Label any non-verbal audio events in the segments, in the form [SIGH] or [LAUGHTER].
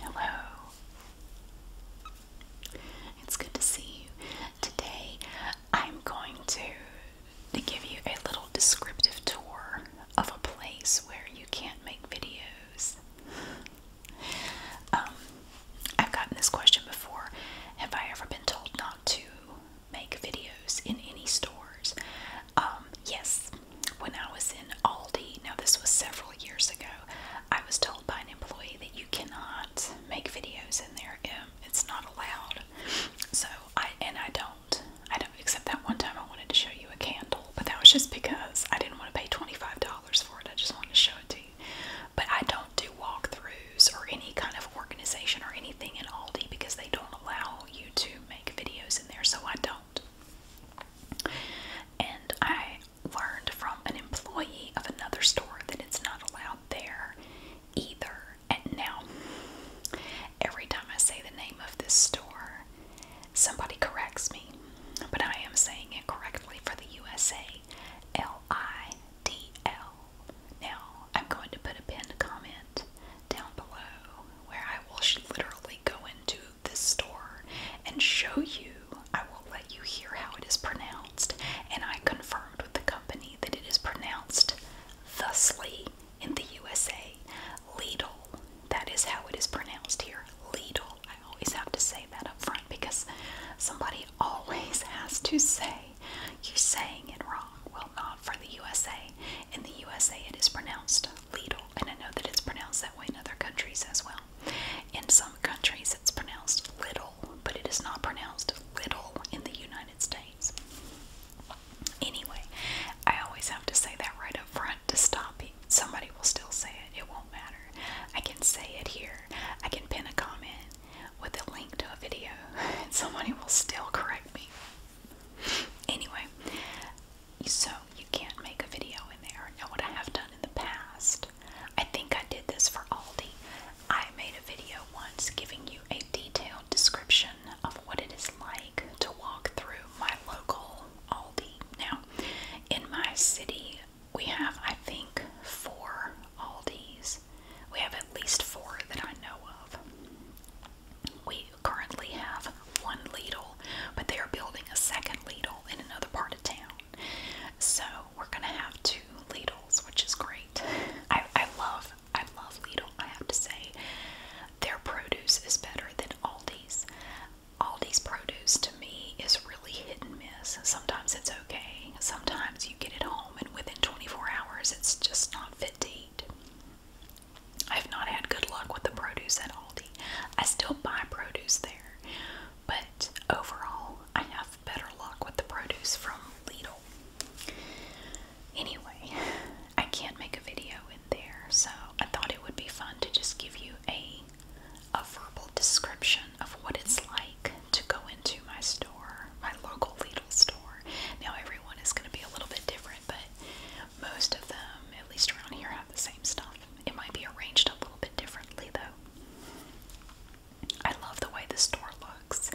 Hello. It's good to see you. Today I'm going to, give you a little descriptive tour of a place where you can't make videos. Um, I've gotten this question before. Have I ever been told not to make videos in any stores? Um, yes, when I was in Aldi, now this was several years ago, I was told by an employee that you cannot make videos in there. It's not allowed. So I and I don't. I don't except that one time I wanted to show you a candle, but that was just because I didn't want to pay twenty-five dollars for it. I just wanted to show it to you. But I don't do walkthroughs or any kind of organization or anything in Aldi because they don't allow you to make videos in there, so I don't. And I learned from an employee of another store that it's not allowed there either. And now, every time I say the name of this store, somebody corrects me, but I am saying it correctly for the USA L I D L. Now, I'm going to put a pinned comment down below where I will literally go into this store and show you. I will let you hear how it is pronounced. And I confirmed with the company that it is pronounced thusly in the USA. Lidl. That is how it is pronounced here. Lidl. I always have to say that up front because somebody always [LAUGHS] has to say, you're saying it wrong. Well, not for the USA. In the USA, it is pronounced Lidl, and I know that it's pronounced that way in other countries as well. In some countries, it's pronounced little, but it is not pronounced little in the United States. Anyway, I always have to say that right up front to stop it. Somebody will still say it, it won't matter. I can say it here, I can pin a comment with a link to a video, [LAUGHS] and somebody will still correct me. Anyway, so you can't make a video in there. Now, what I have done in the past, I think I did this for Aldi. I made a video once giving you a detailed description of what it is like to walk through my local Aldi. Now, in my city, we have, I think, four Aldis. We have at least four that I know of. We currently have one Lidl, but they are building a second Lidl in another part of town. So we're gonna have two Lidl's, which is great. I, I love, I love Lidl. I have to say, their produce is better than Aldi's. Aldi's produce to me is really hit and miss. Sometimes it's okay. Sometimes you get it home and within 24 hours it's just not fit to eat. I've not had good luck with the produce at Aldi. I still buy produce there, but overall, I have better luck with the produce from Lidl. Anyway, I can't make a video in there, so I thought it would be fun to just give you a a verbal description of what it's like to go into my store, my local Lidl store. Now everyone is going to be a little bit different, but most of them, at least around here, have the same stuff. It might be arranged a little bit differently though. I love the way this door looks.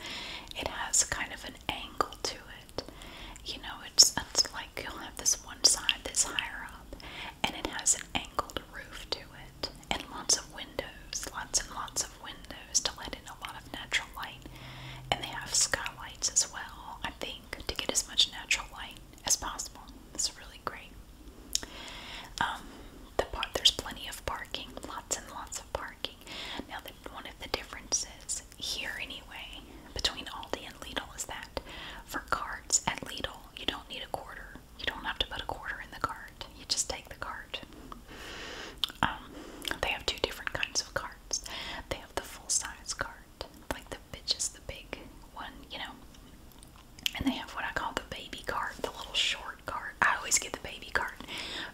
It has kind of an angle to it. You know, it's, it's like you'll have this one side that's higher up and it has an angled roof to it and lots of windows, lots and lots of windows to let in a lot of natural light. And they have skylights as well, I think, to get as much natural light as possible. It's really great. Um, the part there's plenty of parking, lots and lots of parking. Now, the, one of the differences here, anyway, between Aldi and Lidl is that for carts at Lidl, you don't need a quarter. You don't have to put a quarter in the cart. You just take the cart. Um, they have two different kinds of carts. They have the full-size cart, like the bitches, the big one, you know, and they have what I call the baby cart, the little short cart. I always get the baby cart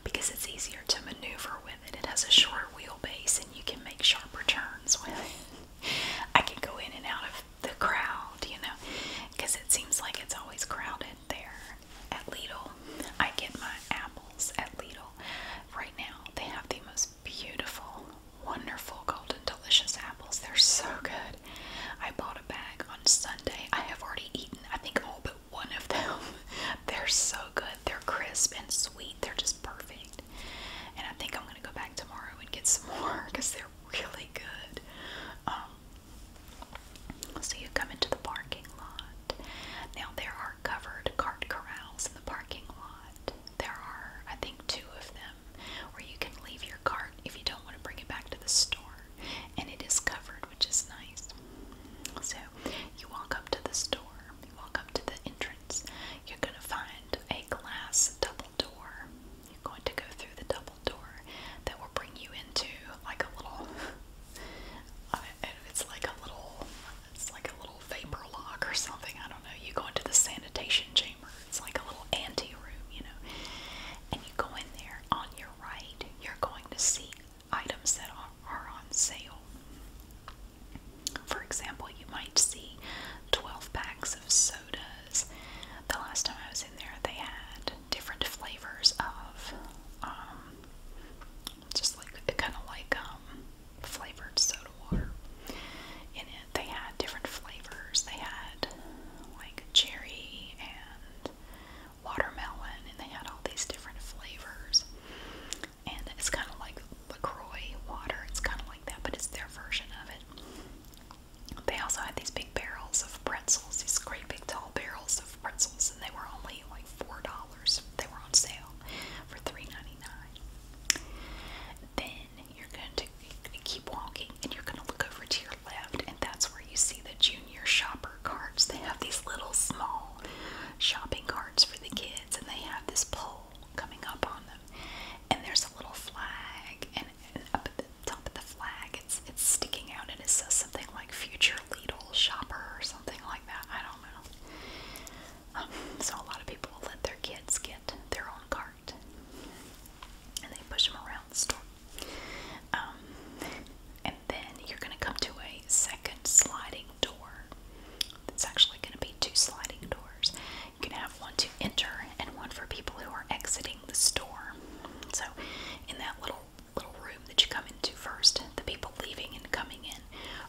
because it's easier to maneuver with it. It has a shorter wheelbase and you can make sharper turns with it. I can go in and out of the crowd, you know, because it seems like it's always crowded there at Lidl. I get my apples at Lidl. Right now, they have the most beautiful wonderful golden delicious apples. They're so good. I bought a bag on Sunday. I have already eaten, I think, all but one of them. [LAUGHS] They're so good. They're crisp and sweet. They're just perfect. And I think I'm going to go back tomorrow and get some [LAUGHS] more because they're really good. Um, so you come into the parking lot. Now there are covered cart corrals in the parking lot. There are, I think, two of them. Where you can leave your cart if you don't want to bring it back to the store. And it is covered, which is nice. So you walk up to the store, walk up to the entrance, you're going to find a glass double door. You're going to go through the double door that will bring you into like a little. [LAUGHS] it's like a little, it's like a little vapor lock or something. I don't know. You go into the sanitation chamber chamber. It's like a little ante room, you know. And you go in there, on your right, you're going to see items that are, are on sale. For example, you might see 12 packs of sodas. The last time I was in there, they had different flavors of, um, just like, kind of like, um, flavored soda water in they had different flavors. They had like cherry and watermelon, and they had all these different flavors. And it's kind of like LaCroix water, it's kind of like that, but it's their version of it. They also had these big barrels of pretzels, these great big tall barrels of pretzels, and they were only like $4. They were on sale for $3.99. Then you're going to keep walking and you're going to look over to your left, and that's where you see the junior shopper carts. They have these little small shopping carts for the kids, and they have this pole coming up on them. And there's a little flag, and, and up at the top of the flag, it's, it's sticking out, and it says something like Future Lidl Shopper or something like that. I don't know. Um, [LAUGHS] so, a lot of people will let their kids get their own cart and they push them around the store. Um, and then you're going to come to a second sliding door. It's actually going to be two sliding doors. You can have one to enter and one for people who are exiting the store. So, in that little little room that you come into first, the people leaving and coming in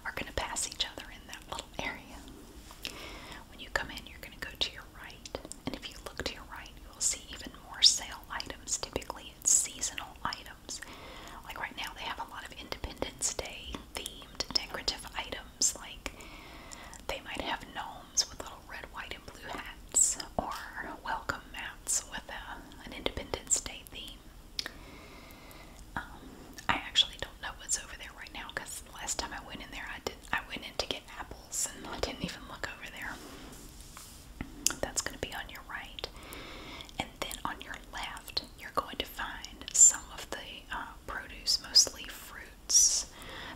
are going to pass each other in that little area. When you come in, you're going to go to your right, and if you look to your right, you will see even more sale items. Typically, it's seasonal items. Like right now, they have a lot of Independence Day themed decorative items. Like they might have gnomes with little red, white, and blue hats, or welcome mats with a, an Independence Day theme. Um, I actually don't know what's over there right now because last time I went in there, I did. I went in to get apples, and I didn't even look over there. That's going to be on your right. And then on your left, you're going to find some of the uh, produce, mostly fruits.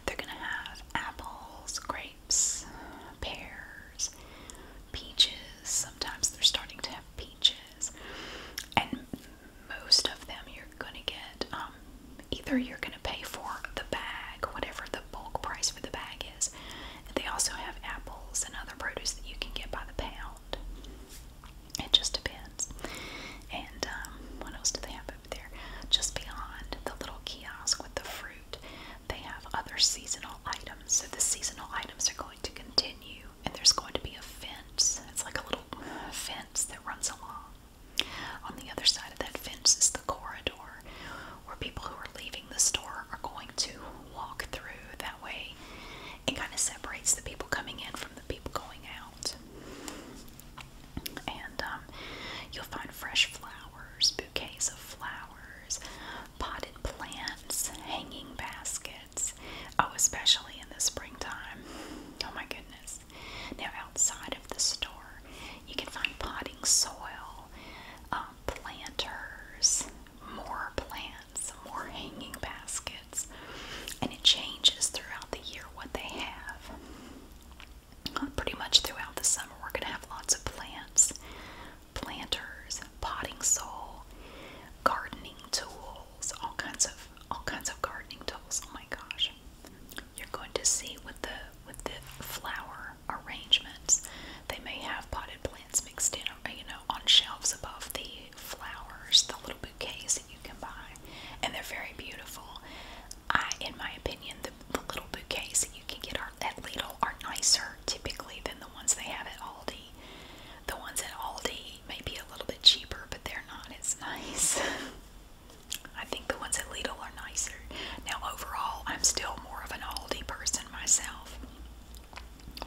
They're going to have apples, grapes, pears, peaches. Sometimes they're starting to have peaches. And most of them, you are you're gonna get um either you're gonna pay for the bag, whatever the bulk price for the bag is. They also have apples and other produce that you can get by the pound. It just depends. And um, what else do they have over there? Just beyond the little kiosk with the fruit, they have other seasonal items. So the seasonal items are going to continue, and there's going to be a fence. It's like a little fence that runs along. On the other side of that fence is the corridor where people who are leaving the store are going to walk through. That way, it kind of separates the people coming in from the people going out. And um, you'll find fresh flowers, bouquets of flowers, potted plants, hanging baskets. Oh, especially in the springtime. Oh my goodness. Now, outside of the store, you can find potting soil, um, planters, more plants, more hanging baskets, and it changes throughout the year what they have. Uh, pretty much throughout the summer, we're going to have lots of plants, planters, potting soil, gardening tools, all kinds of all kinds of gardening tools. Oh my gosh. You're going to see with the with the flower arrangements, they may have potted plants mixed in, or uh, you know, on shelves above the flowers, the little bouquets that you can buy, and they're very beautiful. I, in my opinion, the, the little bouquets that you can get are, at Lidl are nicer typically than the ones they have at Aldi. The ones at Aldi may be a little bit cheaper, but they're not as [LAUGHS] nice. I think the ones at Lidl are nicer. Now, overall, I'm still more of an Aldi person myself.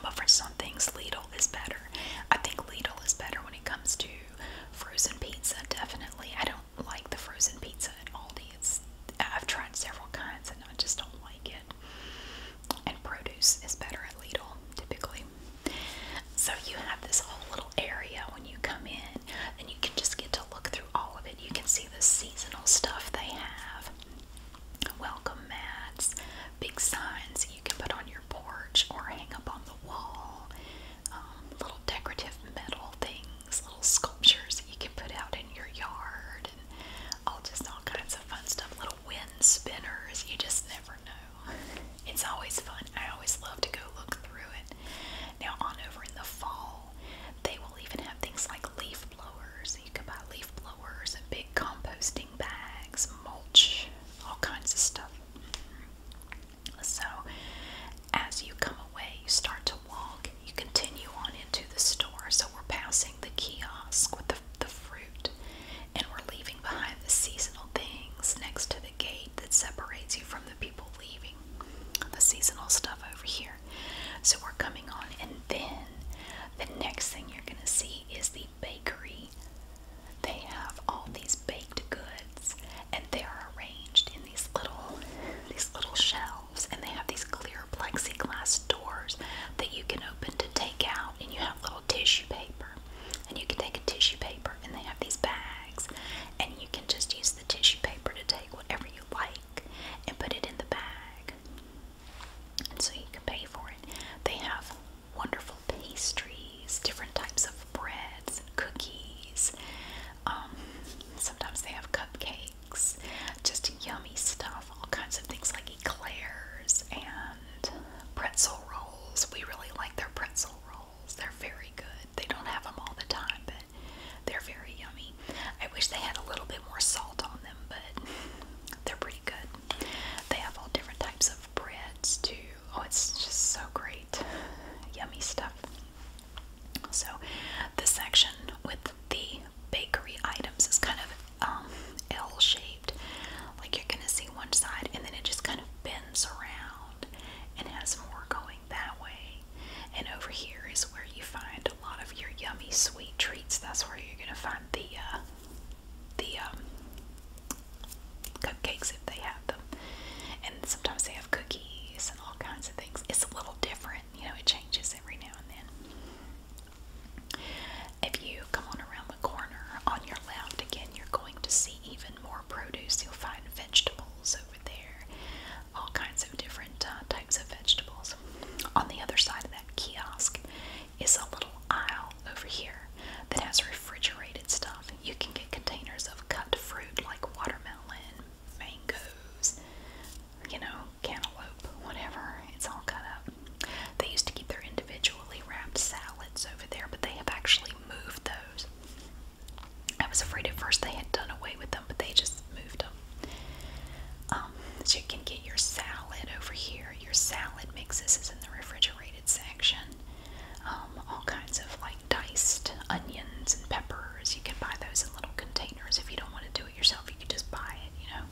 But for some things, Lidl is better. I think Lidl is better when it comes to frozen pizza, definitely. I don't like the frozen pizza at Aldi. It's, I've tried several kinds and I just don't like it. And produce is better at Lidl, typically. So you have this whole little area when you come in and you can just get to look through all of it. You can see the seasonal stuff they have. Welcome mats, big signs you can put on your porch or hang up on the wall, um, little decorative metal things, little sculptures that you can put out in your yard, and all just all kinds of fun stuff. Little wind spinners, you just never know. It's always fun. I always love to go look through it. Now, on over in the fall, sale. They will even have things like leaf blowers. You can buy leaf blowers, big composting bags, mulch, all kinds of stuff. So, as you come away, you start to walk, you continue on into the store. So, we're passing the kiosk with the, the fruit, and we're leaving behind the seasonal things next to the gate that separates you from the people leaving the seasonal stuff over here. So we're coming on, and then the next thing you're going to see is the bakery. They have all these baked goods, and they are arranged in these little, these little shelves, and they have these clear plexiglass doors that you can open to take out, and you have little tissue paper, and you can take a tissue paper, and they have these bags, and you can just use the tissue paper to take whatever you like and put it in the bag. And so you can pay for it. They have wonderful pastries, different types of breads, and cookies. Um, sometimes they have cupcakes, just yummy stuff, all kinds of things like eclairs and pretzel rolls. We really like their pretzel rolls. They're very good. They don't have them all the time, but they're very yummy. I wish they had a little bit more salt on them, but [LAUGHS] they're pretty good. They have all different types of breads too. Oh, it's just so great. Yummy stuff. So, the section with the bakery items is kind of um, L shaped. Like you're going to see one side and then it just kind of bends around and has more going that way. And over here is where you find a lot of your yummy sweet treats. That's where you're gonna find the uh, the um, cupcakes if they have them. And sometimes they have cookies and all kinds of things. It's a little different, you know. It changes every now and then. If you come on around the corner on your left again, you're going to see even more produce. You'll find vegetables over there, all kinds of different uh, types of vegetables. On the other side of that kiosk is a little aisle over here that has refrigerated stuff. You can get containers of cut fruit like watermelon, mangoes, you know, cantaloupe, whatever. It's all cut up. They used to keep their individually wrapped salads over there, but they have actually moved those. I was afraid at first they had done away with them, but they just moved them. Um, so you can get your salad over here. Your salad mixes is in the refrigerated section. Um, all kinds of like diced onions and peppers. You can buy those in little containers. If you don't want to do it yourself, you can just buy it, you know.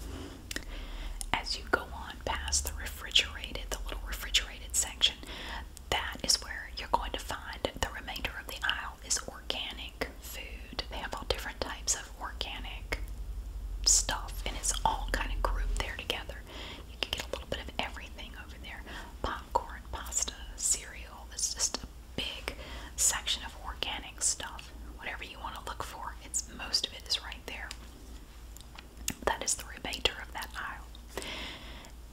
As you go on past the refrigerated, the little refrigerated section, that is where you're going to find the remainder of the aisle is organic food. They have all different types of organic stuff, and it's all kind of grouped there together. You can get a little bit of everything over there popcorn, pasta, cereal. It's just a big section of organic stuff. Whatever you want to look for, it's most of it is right there. That is the rebater of that aisle.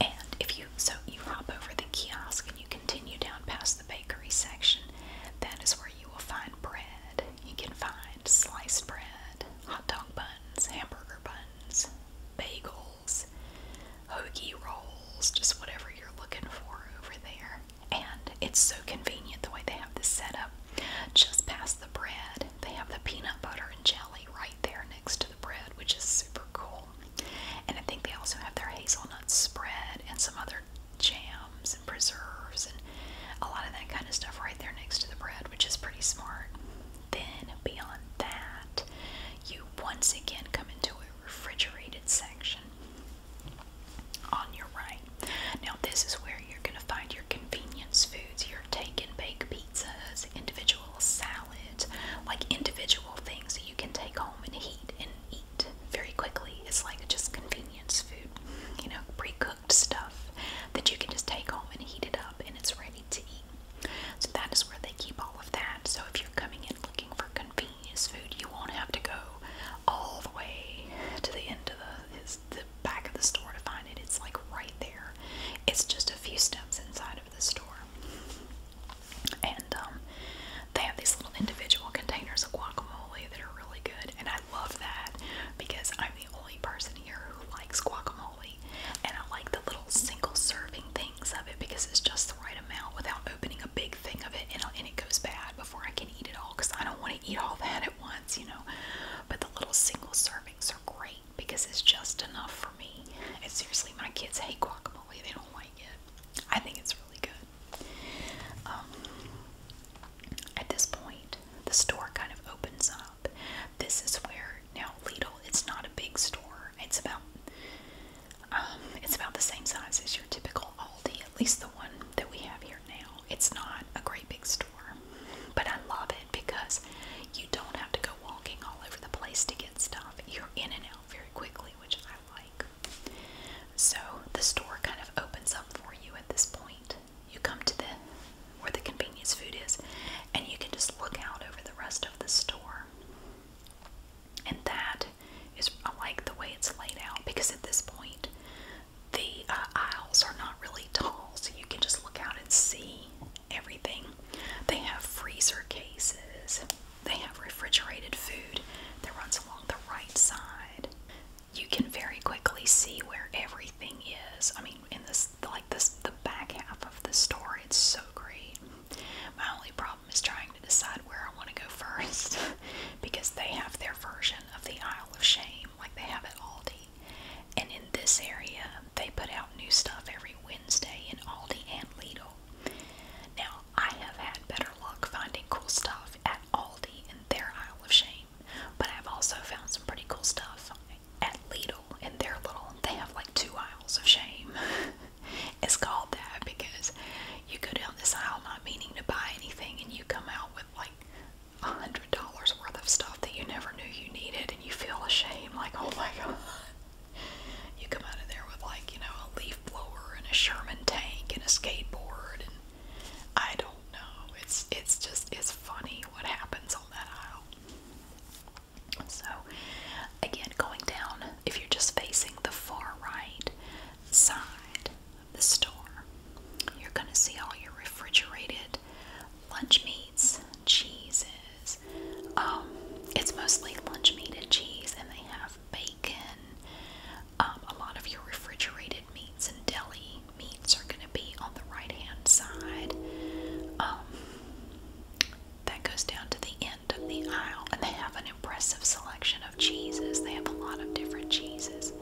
And if you so you hop over the kiosk and you continue down past the bakery section, that is where you will find bread. You can find sliced bread, hot dog buns, hamburger buns, bagels, hoagie rolls, just whatever you're looking for over there. And it's so convenient the way they have this set up. Just past the bread, they have the peanut butter and jelly right there next to the bread, which is super cool. And I think they also have their hazelnut spread and some other jams and preserves and a lot of that kind of stuff right there next to the bread, which is pretty smart. Then, beyond that, you once again come into a refrigerated section on your right. Now, this is where you're going to find your convenience foods, your take and bake pizzas, individual salads, like individual things that you can take home and heat and eat very quickly. It's like just convenience food, you know, pre cooked stuff that you can just take home and heat it up and it's ready to eat. So that is where they keep all of that. So if you're coming in looking for convenience food, you won't have to go all the way to the end of the, the back of the store to find it. It's like right there. It's just a few steps inside of the store. And um, they have these little individual containers of guacamole that are really good. And I love that because I'm the only person here who likes guacamole. And I like the little single serving things of it because it's just the right amount without opening a big thing of it and, and it goes bad before I can eat it all because I don't want to eat all that at once, you know. But the little single servings are great because it's just enough for me. And seriously, my kids hate guacamole. They don't like like it. I think it's really good. Um, at this point, the store kind of opens up. This is where now Lidl. It's not a big store. It's about um, it's about the same size as your typical Aldi, at least the one that we have here now. It's not a great big store, but I love it because you don't have to go walking all over the place to get stuff. You're in and out very quickly, which like. So the store kind of opens up for you at this point. You come to the where the convenience food is, and you can just look out over the rest of the store. And that is like the way it's laid out because at this point the uh, aisles are not really tall, so you can just look out and see everything. They have freezer cases. They have refrigerated food that runs along the right side. You can very quickly see where everything is. I mean, in this, like this, the back half of the store, it's so great. My only problem is trying to decide where I want to go first [LAUGHS] because they have their version of the Isle of Shame, like they have at Aldi. And in this area, they put out new stuff every Wednesday in Aldi and Lidl. Now, I have had better luck finding cool stuff at Aldi in their aisle of shame, but I've also found some pretty cool stuff at Lidl in their little, they have like two aisles of shame. [LAUGHS] it's called that because you go down this aisle not meaning to buy anything and you come out with like a hundred dollars worth of stuff that you never knew you needed and you feel ashamed like, oh my [LAUGHS] god you come out of there with like, you know, a leaf blower and a Sherman tank and a skateboard and I don't know. It's it's just it's funny what happens on that aisle. So again, going down, if you're just facing the far right side of the store, you're gonna see all your refrigerated lunch meats, cheeses. Um, it's mostly lunch meat and cheese, and they have bacon bacon. Um, a lot of your refrigerated meats and deli meats are going to be on the right hand side. Um, that goes down to the end of the aisle, and they have an impressive selection of cheeses. They have a lot of different cheeses.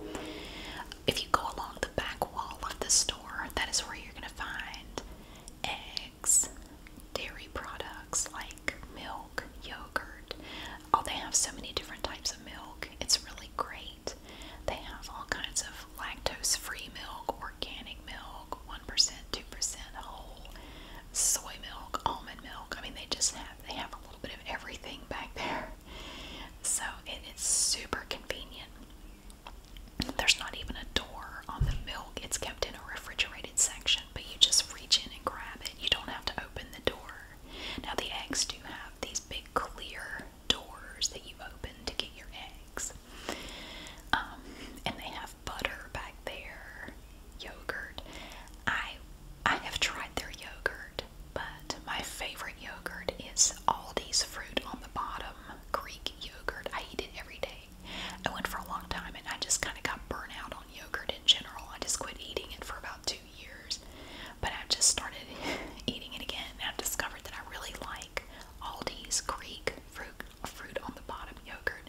If you go along the back wall of the store, that is where you're going to find eggs, dairy products like milk, yogurt. Oh, they have so many different types of milk. It's really great. They have all kinds of lactose free milk, organic milk, 1%, 2% whole, soy milk, almond milk. I mean, they just have they have a little bit of everything back there. So, it is super convenient. There's not even a door on the milk. It's kept in a refrigerated section but you just reach in and grab it. You don't have to open the door. Now, the eggs do have these big clear doors that you open to get your eggs. Um, and they have butter back there, yogurt. I I have tried their yogurt, but my favorite yogurt is Aldi's fruit on the bottom Greek yogurt. I eat it every day. I went for a long time and I just kind of got burnt out yogurt in general. I just quit eating it for about two years, but I've just started [LAUGHS] eating it again. And I've discovered that I really like Aldi's Greek fruit fruit on the bottom yogurt,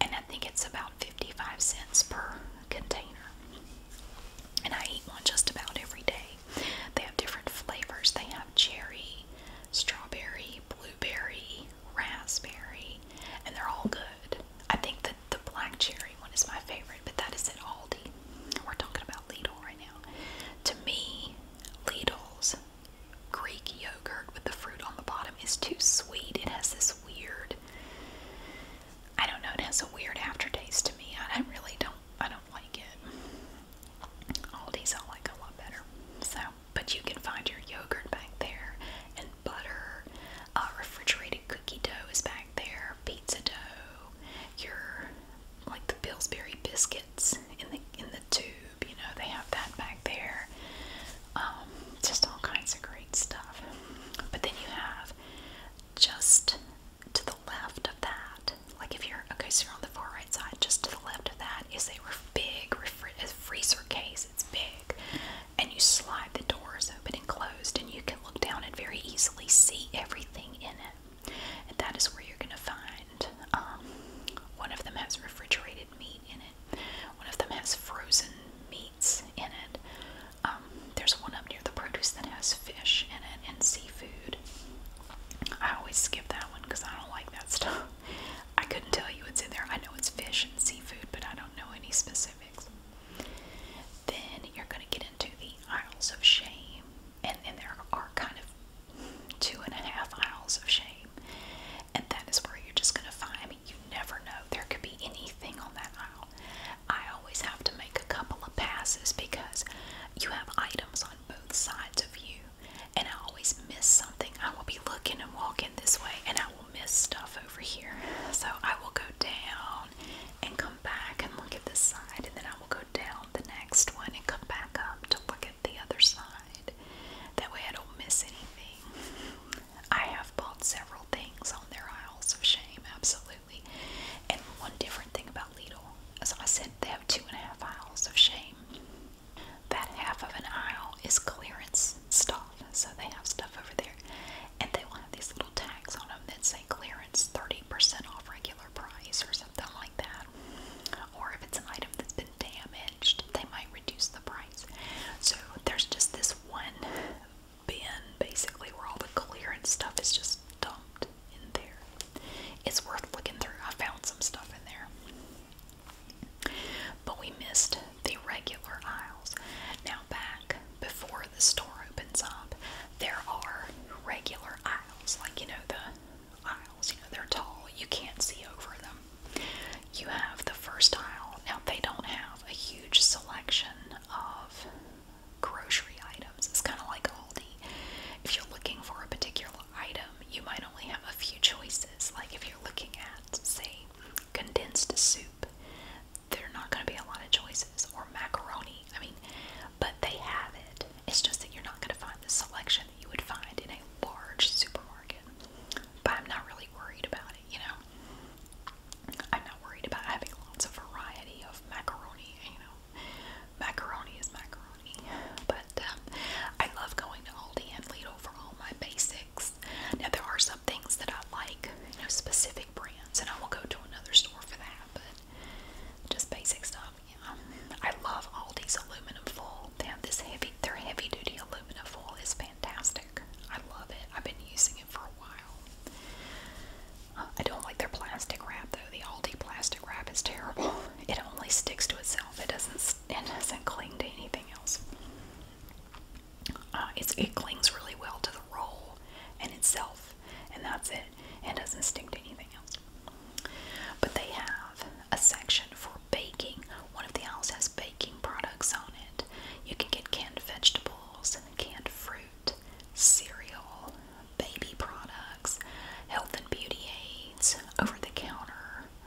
and I think it's about 55 cents per container. And I eat one just about every day. They have different flavors. They have cherry, strawberry, blueberry, raspberry, and they're all good. I think that the black cherry one is my favorite, but that is at Aldi. We're talking about Lidl right now. To me, Lidl's Greek yogurt with the fruit on the bottom is too sweet. It has this weird, I don't know, it has a weird aftertaste to me. I, I really don't, I don't like it. Aldi's I like a lot better. So, but you can find your yogurt back there butter, uh, refrigerated cookie dough is back there, pizza dough, your like the Pillsbury biscuits in the in the tube. You know they have that back there. Um, just all kinds of great stuff. But then you have just to the left of that, like if you're okay, so you're on the far right side. Just to the left of that is a ref big refri freezer case. It's big and you slide the doors open and closed, and you can look down and very easily see everything in it. And that is where you're going to find um, one of them has refrigerated meat in it, one of them has frozen meats in it. Um, there's one up near the produce that has fish in it and seafood. I always skip that one because I don't like that stuff. [LAUGHS] I couldn't tell you what's in there. I know it's fish and seafood, but I don't know any specifics. Then you're going to get into the Isles of Shame, and then there are kind of two and a half aisles of Shame. And that is where you're just going to find, I you never know. There could be anything on that aisle. I always have to make a couple of passes because you have items on both sides of you. And I always miss something. I will be looking and walking this way and I miss stuff over here. So I will go down and come back and look at this side, and then I will go down the next one and come back up to look at the other side. That way I don't miss anything. I have bought several things on their aisles of shame, absolutely. And one different thing about Lidl, as I said, they have two and a half aisles of shame. That half of an aisle is clearance stuff, so they have stuff over there and they will have these little tags on them that say clearance 30% off regular price or something like that. Or if it's an item that's been damaged, they might reduce the price. So there's just this one bin basically where all the clearance stuff is just dumped in there. It's worth looking through. I found some stuff in there. But we missed the regular aisles. Now, back before the store opens up, there are regular aisles, like you know, the aisles, you know, they're tall, you can't see over them. You have the first aisle, now they don't have a huge selection of grocery items, it's kind of like Aldi. If you're looking for a particular item, you might only have a few choices. Like if you're looking at, say, condensed soup, there are not going to be a lot of choices or macaroni. I mean, but they have it. It's just that you're not going to find the selection that you would find in a large supermarket. But I'm not really worried about it, you know. I'm not worried about having lots of variety of macaroni, you know. Macaroni is macaroni. But um, I love going to Aldi and Lidl for all my basics. Now, there are some some things that I like, you know, specific brands, and I will go to another store for that, but just basic stuff, you know. I love Aldi's aluminum foil. They have this heavy, their heavy duty aluminum foil is fantastic. I love it. I've been using it for a while. Uh, I don't like their plastic wrap though. The Aldi plastic wrap is terrible. [LAUGHS] It only sticks to itself. It doesn't. It doesn't cling to anything else. Uh, it clings really well to the roll and itself, and that's it. It doesn't stick to anything else. But they have a section for baking. One of the aisles has baking products on it. You can get canned vegetables, canned fruit, cereal, baby products, health and beauty aids, over the counter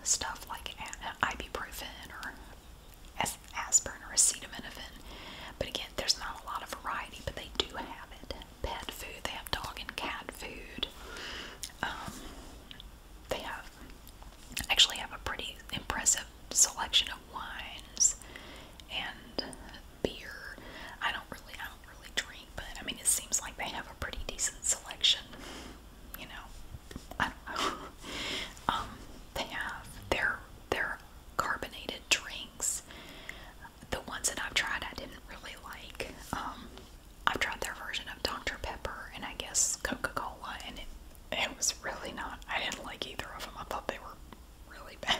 stuff like ibuprofen or as aspirin or acetaminophen. But again, there's not a lot of variety, but they do have it. Pet food, they have dog and cat food. Um, they have actually have a pretty impressive selection of wines and beer. I don't really, I don't really drink, but I mean, it seems like they have a pretty decent selection. You know, I don't know. [LAUGHS] um, they have their their carbonated drinks. The ones that I've tried, I didn't really like. Um, I've tried their version of Dr. Pepper and I guess Coca Cola, and it, it was really not, I didn't like either of them. I thought they were really [LAUGHS] bad.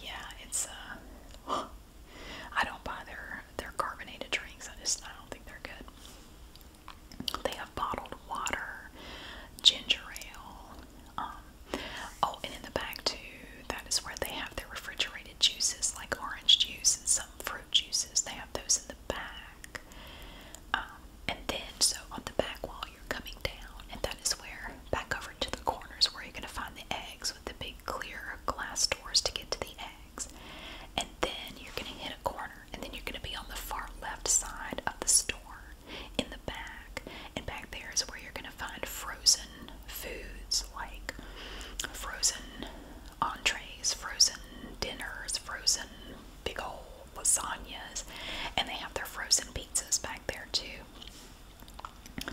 yeah, it's, uh, I don't buy their, their carbonated drinks. I just, I don't think they're good. They have bottled water, ginger ale. Um, oh, and in the back too, that is where they have their refrigerated juices, like orange juice and some fruit juices. They have those in the back. Um, and then, so on the back wall, you're coming down, and that is where back over to the corners where you're gonna find the eggs with the big clear glass doors to get to the eggs. And then you're gonna hit a corner and then you're going to be on the far left side of the store in the back. And back there is where you're going to find frozen foods like frozen entrees, frozen dinners, frozen big old lasagnas, and they have their frozen pizzas back there too.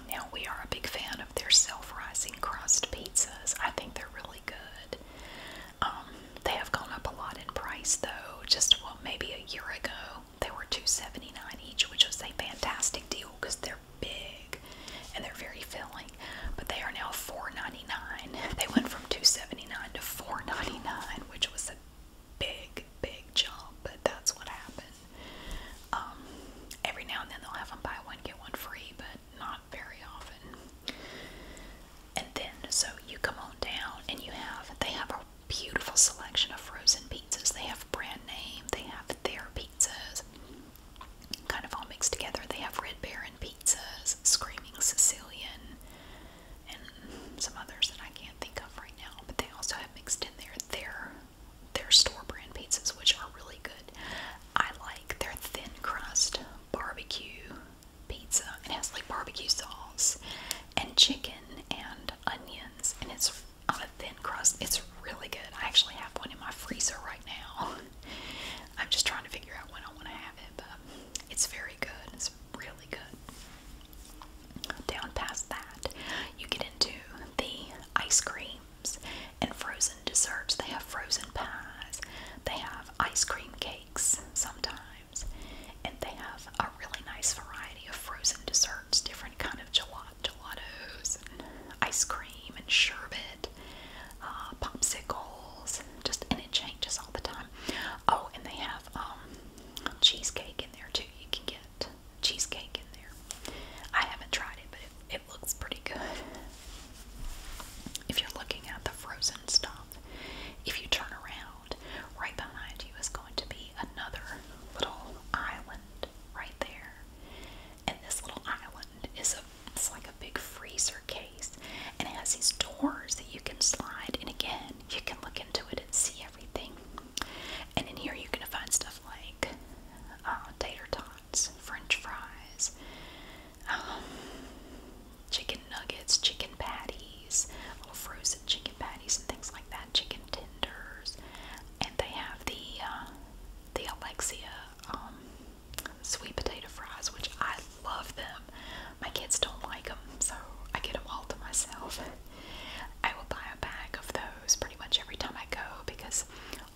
Now, we are a big fan of their self rising crust pizzas, I think they're really good. Um, they have gone up a lot in price though. Just well, maybe a year ago they were two seventy nine each, which was a fantastic deal because they're big and they're very filling. But they are now four ninety nine. [LAUGHS] They went from two seventy nine to four ninety nine, which was a big, big jump. But that's what happened. Um, every now and then they'll have them buy one get one free, but not very often. And then, so you come on down and you have, they have a beautiful selection of frozen pizzas. They have brand name, they have their pizzas, kind of all mixed together. They have Red Baron pizzas, Screaming Sicilian, and some others that I can't think of right now. But they also have mixed in there their, their store brand pizzas, which are really good. I like their thin crust barbecue pizza. It has like barbecue sauce and chicken and onions, and it's on a thin crust. It's really good. I actually have one in my freezer right now. [LAUGHS] I'm just trying to figure out when I want to have it, but it's very good. It's really good. Down past that, you get into the ice creams and frozen desserts. They have frozen pies, they have ice cream cakes sometimes. And they have a really nice variety of frozen desserts, different kind of gelato, and ice cream, and sherbet, uh, popsicles. Just and it changes all the time. Oh, and they have um, cheesecake in there too. You can get cheesecake in there. I haven't tried it, but it looks pretty good. If you're looking at the frozen stuff, if you turn around Right behind you is going to be another little island right there. And this little island is a it's like a big freezer case and it has these doors that you can slide and again you can look into it and see everything. And in here you're gonna find stuff like uh, tater tots, french fries, um, chicken nuggets, chicken patties, frozen chicken patties and things like that, chicken tenders, and they have the uh, the Alexia um, sweet potato fries, which I love them. My kids don't like them, so I get them all to myself. I will buy a bag of those pretty much every time I go because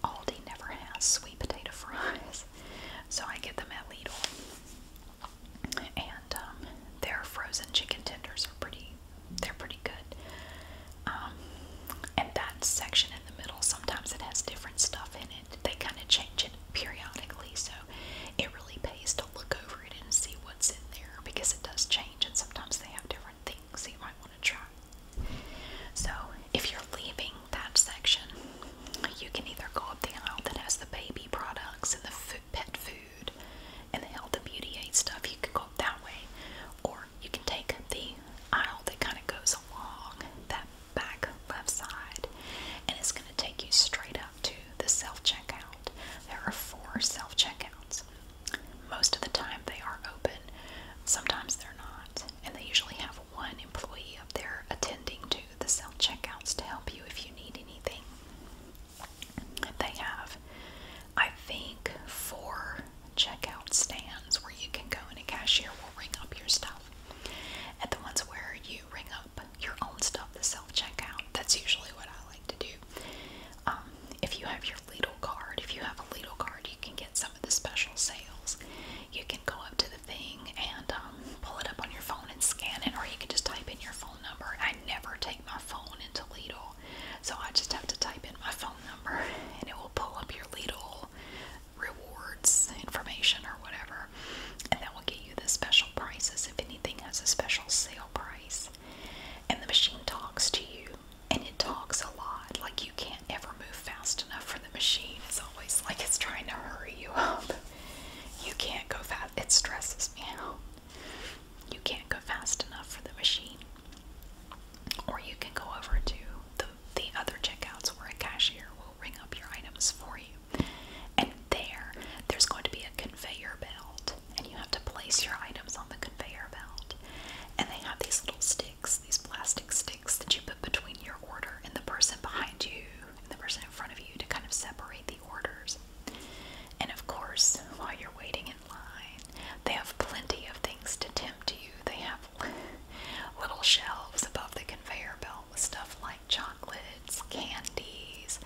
Aldi never has sweet potato fries, so I get them at Lidl and um, their frozen chicken tenders are pretty. They're pretty good. Um, and that section in the middle, sometimes it has different stuff in it. They kind of change it periodically, so it really pays to look over it and see what's in there because it does change, and sometimes they have different things that you might want to try. So, if you're leaving that section, you can either go up the aisle that has the baby products and the food pet food, and the health and beauty aid stuff. You could go that way, or you can take the aisle that kind of goes along that back left side, and it's going to take you straight up to the self checkout. There are four self checkouts. Most of the time, they are open. Sometimes they're not, and they usually have one employee up there attending to the self checkouts to help you if you need anything. They have, I think, four checkout stands where you can go and a cashier will ring up your stuff. At the ones where you ring up your own stuff, the self checkout, that's usually what I like to do. Um, if you have your Lidl card, if you have a Lidl card, you can get some of the special sales. You can go up to the thing and um, pull it up on your phone and scan it, or you can just type in your phone number. I I never take my phone into Lidl, so I just have to type in my phone number and it will pull up your Lidl rewards information or whatever, and that will get you the special prices if anything has a special sale price. And the machine talks to you, and it talks a lot. Like you can't ever move fast enough for the machine. It's always like it's trying to hurry you up. You can't go fast. It stresses me out you can't go fast enough for the machine. Or you can go over to the, the other checkouts where a cashier will ring up your items for you. And there, there's going to be a conveyor belt, and you have to place your items on the conveyor belt. And they have these little sticks, these plastic sticks that you put between your order and the person behind you and the person in front of you to kind of separate the orders. And of course, while you're waiting in line, they have plenty of things to tempt you. They have [LAUGHS] little shelves above the conveyor belt with stuff like chocolates, candies,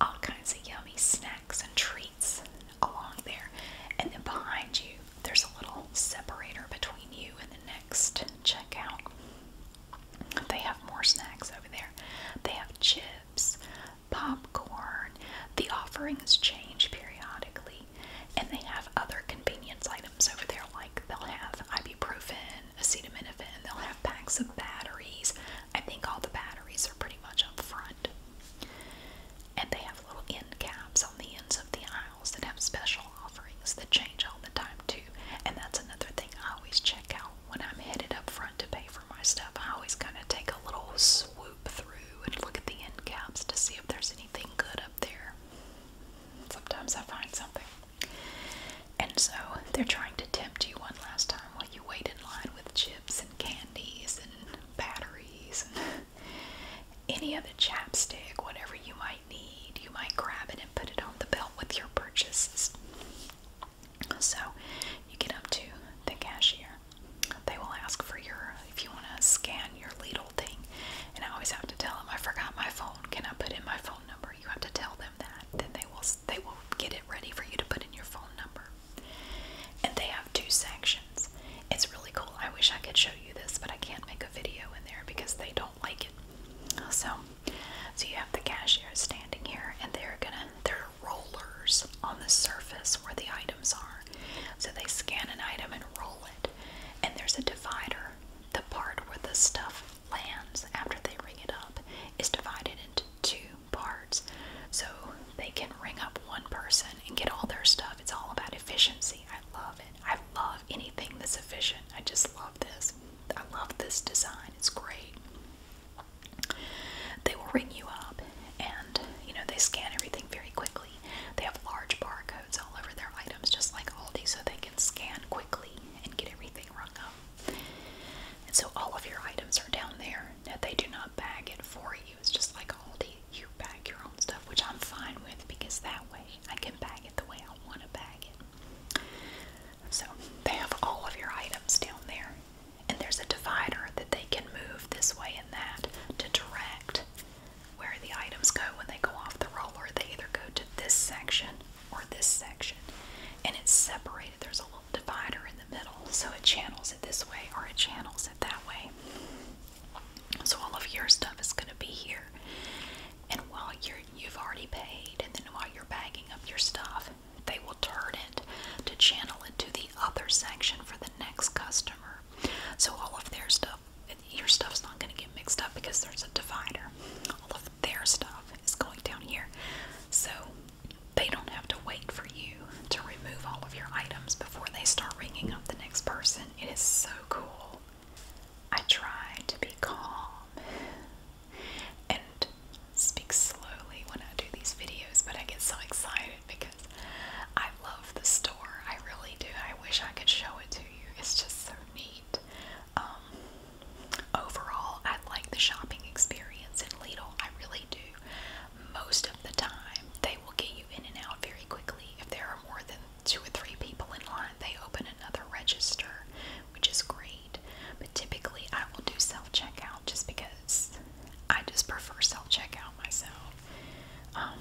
all kinds of yummy snacks and treats along there. And then behind you, there's a little separator between you and the next checkout. They have more snacks over there. They have chips popcorn. The offerings change periodically, and they have other convenience items over there, like they'll have ibuprofen, acetaminophen, they'll have packs of batteries. I think all the batteries are pretty much up front. And they have little end caps on the ends of the aisles that have special offerings that change all the time, too. And that's another thing I always check out when I'm headed up front to pay for my stuff, I always kind of take a little swoop through and look at the end caps to see if there's anything good up there. Sometimes I find something. And so they're trying to tempt you one last time while you wait in line with chips and candies and batteries and any other chapstick, whatever you might need. You might grab it and put it on the belt with your purchases. So you get up to the cashier. They will ask for your, if you want to scan your Lidl thing. And I always have to tell them, I forgot my phone. Can I put in my phone number? You have to tell them that. Then they will, they will get it ready for you to put in your phone number. And they have two sections. It's really cool. I wish I could show you this, but I can't make a video in there because they don't like it. So, so you have the cashier standing here, and they're gonna, they're rollers on the surface where the items are. So they scan an item and roll it, and there's a divider. The part where the stuff lands after they ring it up is divided into two parts. So they can ring up one person and get all their stuff. It's all about efficiency. I love it. I love anything that's efficient. I just love this. I love this design. It's great. They will ring you up and, you know, they scan everything very quickly. They have large barcodes all over their items, just like Aldi, so they can scan quickly and get everything rung up. And so all of your items are down there. Now, they do not bag it for you. It's just like Aldi, you bag your own stuff, which I'm fine with because that way I can bag it the way I want to bag it. So they have all of your items down there and there's a divider that they can move this way and that to direct where the items go when they go off the roller. They either go to this section or this section, and it's separated. There's a little divider in the middle, so it channels it this way or it channels it that way. So all of your stuff is going to be here, and while you're you've already paid, and then while you're bagging up your stuff, they will turn it to channel it to the other section for the next customer. So all of their stuff, your stuff's not going to get mixed up because there's a divider. All of their stuff is going down here. So they don't have to wait for you to remove all of your items before they start ringing up the next person. It is so cool. I try to be calm and speak slowly when I do these videos, but I get so excited because I love the store. I really do. I wish I could show it to you. It's just so neat. Um, overall, I like the shopping experience in Lidl. I really do. Most of the time, they will get you in and out very quickly. If there are more than two or three people in line, they open another register, which is great paid. But typically, I will do self checkout just because I just prefer self checkout myself. Um,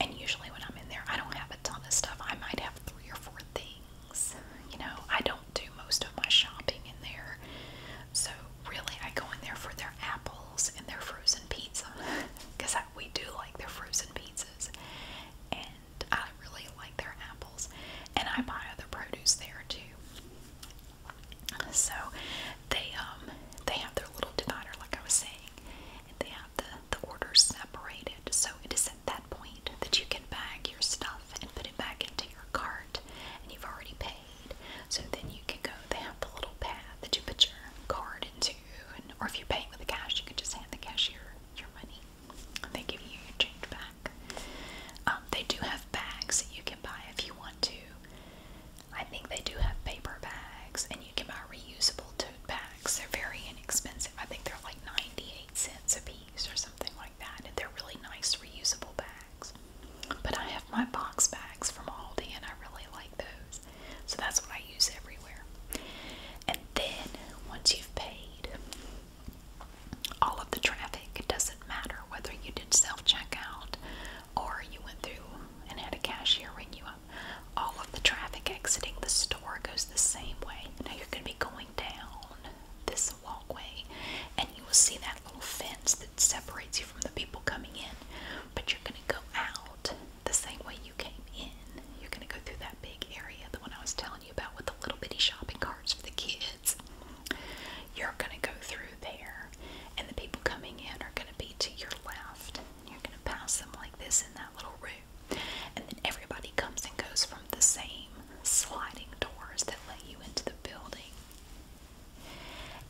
and usually, when I'm in there, I don't have a ton of stuff. I might have three or four things. You know, I don't do most of my shopping in there. So, really, I go in there for their apples and their frozen pizza because [LAUGHS] we do like their frozen pizzas. And I really like their apples. And I buy other produce there too. So they um they have their little divider, like I was saying, and they have the the orders separated. So it is at that point that you can bag your stuff and put it back into your cart, and you've already paid. So then you can go. They have the little pad that you put your card into, and or if you're paying with the cash, you can just hand the cashier your money, and they give you your change back black. Um, they do have bags that you can buy if you want to. I think they do have paper bags, and you can buy reusable tote bags. They're very inexpensive. I think they're like 98 cents a piece or something like that, and they're really nice reusable bags. But I have my box bags from Aldi, and I really like those. So that's what I use everywhere. And then once you've paid, all of the traffic. It doesn't matter whether you did self checkout or you went through and had a cashier ring you up. All of the traffic exiting the store goes the same way. Now you're going to be going down this walkway and you will see that little fence that separates you from the people coming in. But you're going to go out the same way you came in. You're going to go through that big area, the one I was telling you about with the little bitty shopping carts for the kids you're going to go through there, and the people coming in are going to be to your left. You're going to pass them like this in that little room, and then everybody comes and goes from the same sliding doors that let you into the building.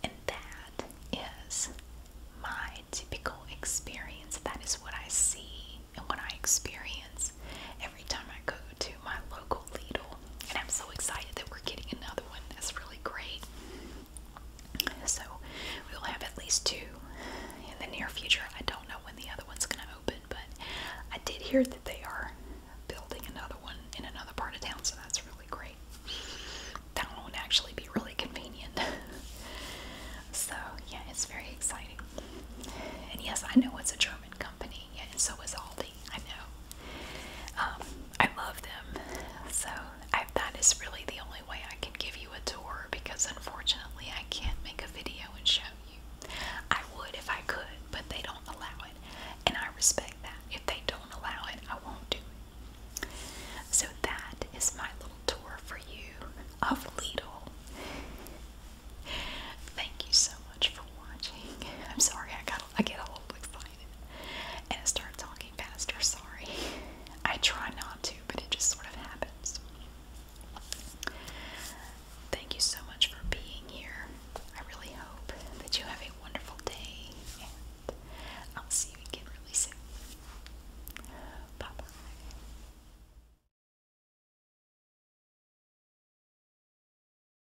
And that is my typical experience. That is what I see and what I experience every time I go to to my local Lidl, and I'm so excited that we're getting another one. That's really great. So we'll have at least two in the near future. I don't know when the other one's going to open, but I did hear that they are building another one in another part of town, so that's really great. That one would actually be really convenient. [LAUGHS] so yeah, it's very exciting. And yes, I know it's a German company and so is Aldi. I know. Um, I love them. So that is really the only way I can give you a tour because unfortunately I can't make a video and show you. I would if I could, but they don't allow it, and I respect that. If they don't allow it, I won't do it. So that is my little tour for you of Lidl. Thank you so much for watching. [LAUGHS] I'm sorry I get a little excited and start talking faster. Sorry, I try not to, but it just sort of happens. Thank you so much for being here. I really hope that you have a wonderful day, and I'll see you again really soon. Bye bye.